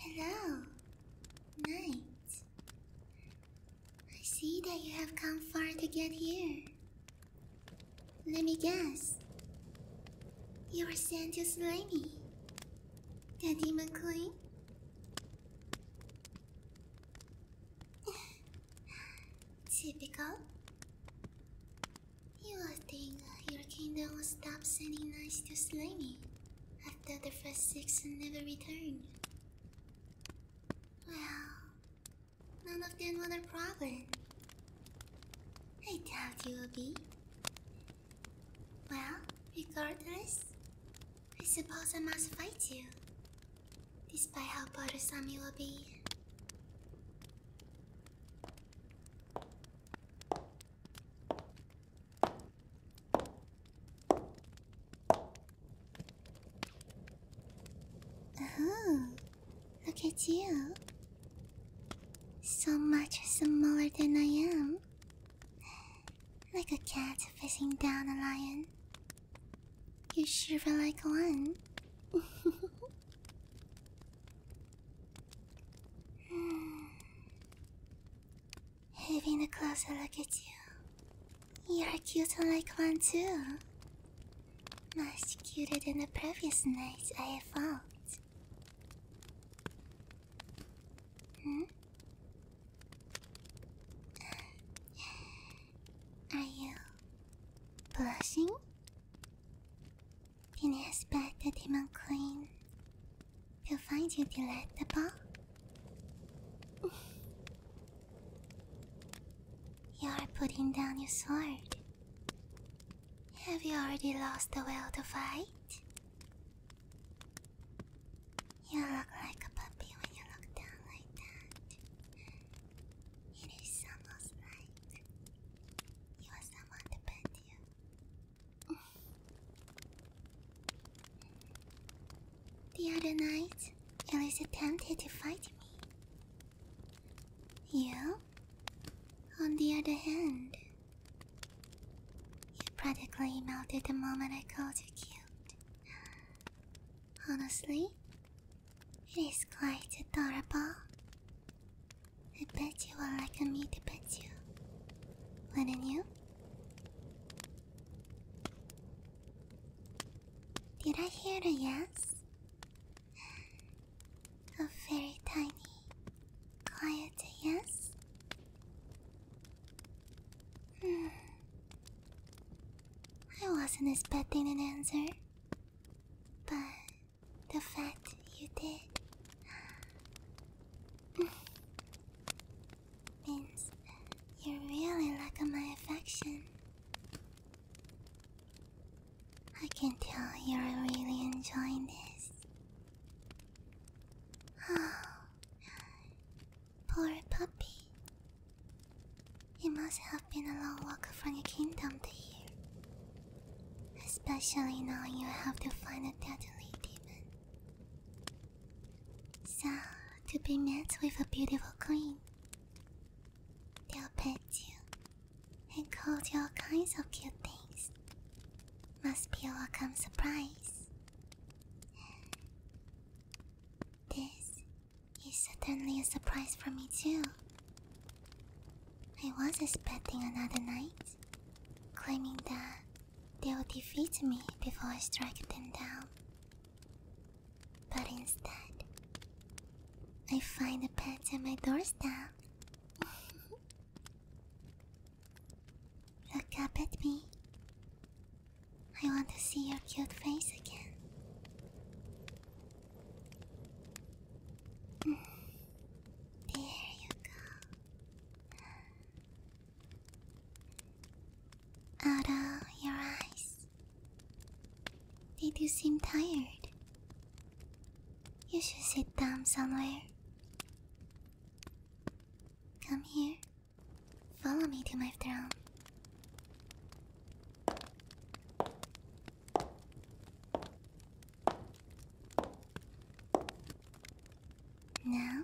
Hello. Night. I see that you have come far to get here. Let me guess. You were sent to slay me. The demon queen? Typical. You would think your kingdom would stop sending knights to slay me after the first six never returned. Well, none of them were a problem. I doubt you will be. Well, regardless, I suppose I must fight you. Despite how bothersome you will be. Oh. Look at you. So much smaller than I am. Like a cat facing down a lion. You shiver like one. Having a closer look at you, you're cute like one too. Much cuter than the previous nights I have fought. Hmm? Are you blushing? Didn't expect the demon queen to find you delectable. you are putting down your sword. Have you already lost the will to fight? You look like a puppy when you look down like that. It is almost like you want someone to pet you. the other night, Elise attempted to fight me. You on the other hand, you practically melted the moment I called you cute. Honestly, it is quite adorable. I bet you would like me to pet you, wouldn't you? Did I hear a yes? A very tiny, quiet yes? Hmm. I wasn't expecting an answer, but the fact you did means you really like my affection. I can tell you're really enjoying this. Oh, poor puppy. It must have been a long walk from the kingdom to here. Especially now you have to find a deadly demon. So, to be met with a beautiful queen, They'll pet you and call you all kinds of cute things. Must be a welcome surprise. This is certainly a surprise for me, too. I was expecting another knight, claiming that they will defeat me before I strike them down. But instead, I find a pet at my doorstep. Look up at me. I want to see your cute face again. There you go. Out of your eyes. They do seem tired. You should sit down somewhere. Come here. Follow me to my throne. Now,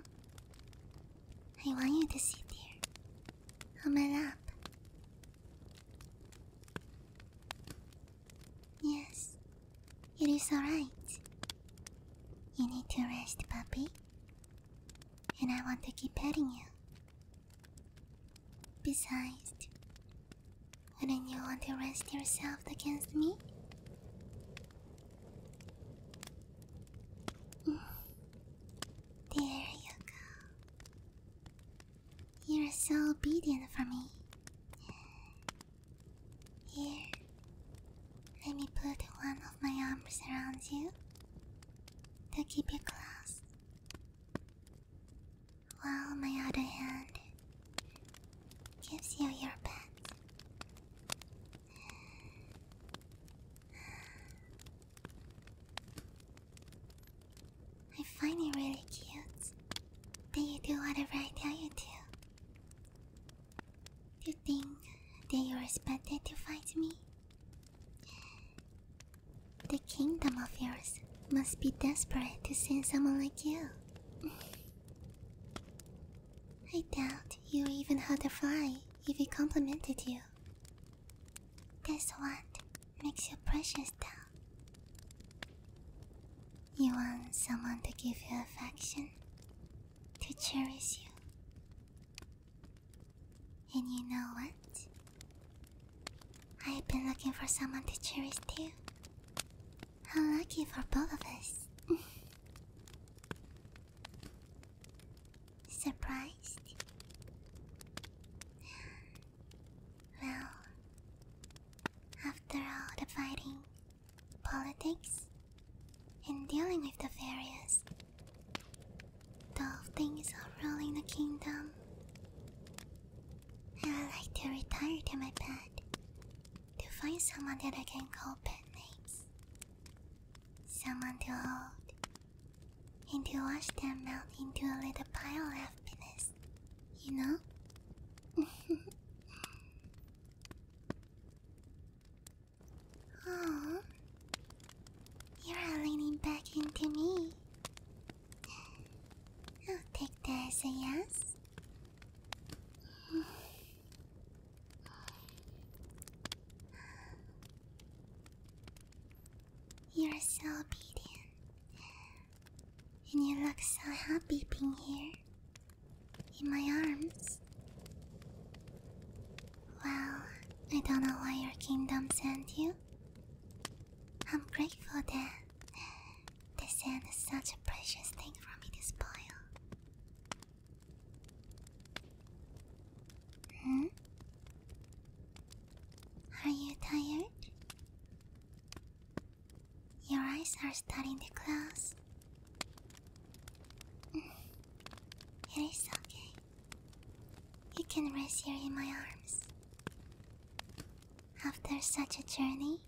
I want you to sit here on my lap Yes, it is alright. You need to rest, puppy. And I want to keep petting you. Besides, wouldn't you want to rest yourself against me? Mm. There you go. You're so obedient for me. Here, let me put one of my arms around you to keep you close, while my other hand gives you your pet. I find you really cute that you do whatever I tell you to. Do you think that you're expected to fight me? The kingdom of yours must be desperate to send someone like you. I doubt you even had a fly if he complimented you. That's what makes you precious, though. You want someone to give you affection, to cherish you. And you know what? I've been looking for someone to cherish too. How lucky for both of us. Surprised? Well, after all the fighting, politics, and dealing with the various dull things of ruling the kingdom, I would like to retire to my bed to find someone that I can call pet names. Someone to hold and to watch them melt into a little pile of happiness, you know? oh, you're leaning back into me. I'll take that as a yes. You're so obedient. And you look so happy being here in my arms. Well, I don't know why your kingdom sent you. I'm grateful that they sent such a precious thing for me to spoil. Hmm? Are you tired? Your eyes are starting to close. It is okay. You can rest here in my arms. After such a journey,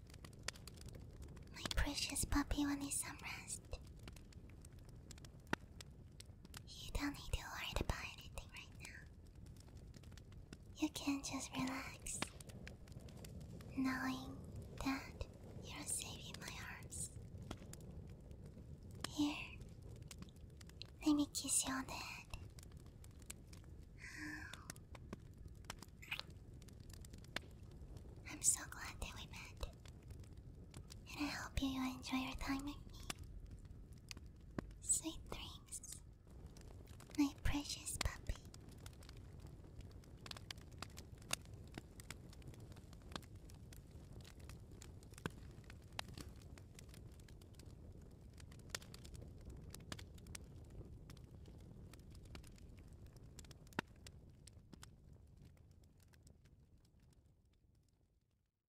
my precious puppy will need some rest. You don't need to worry about anything right now. You can just relax, knowing that you're saving my heart. Here, let me kiss you on the head. I'm so glad that we met, and I hope you enjoy your time with me. Sweet dreams, my precious puppy.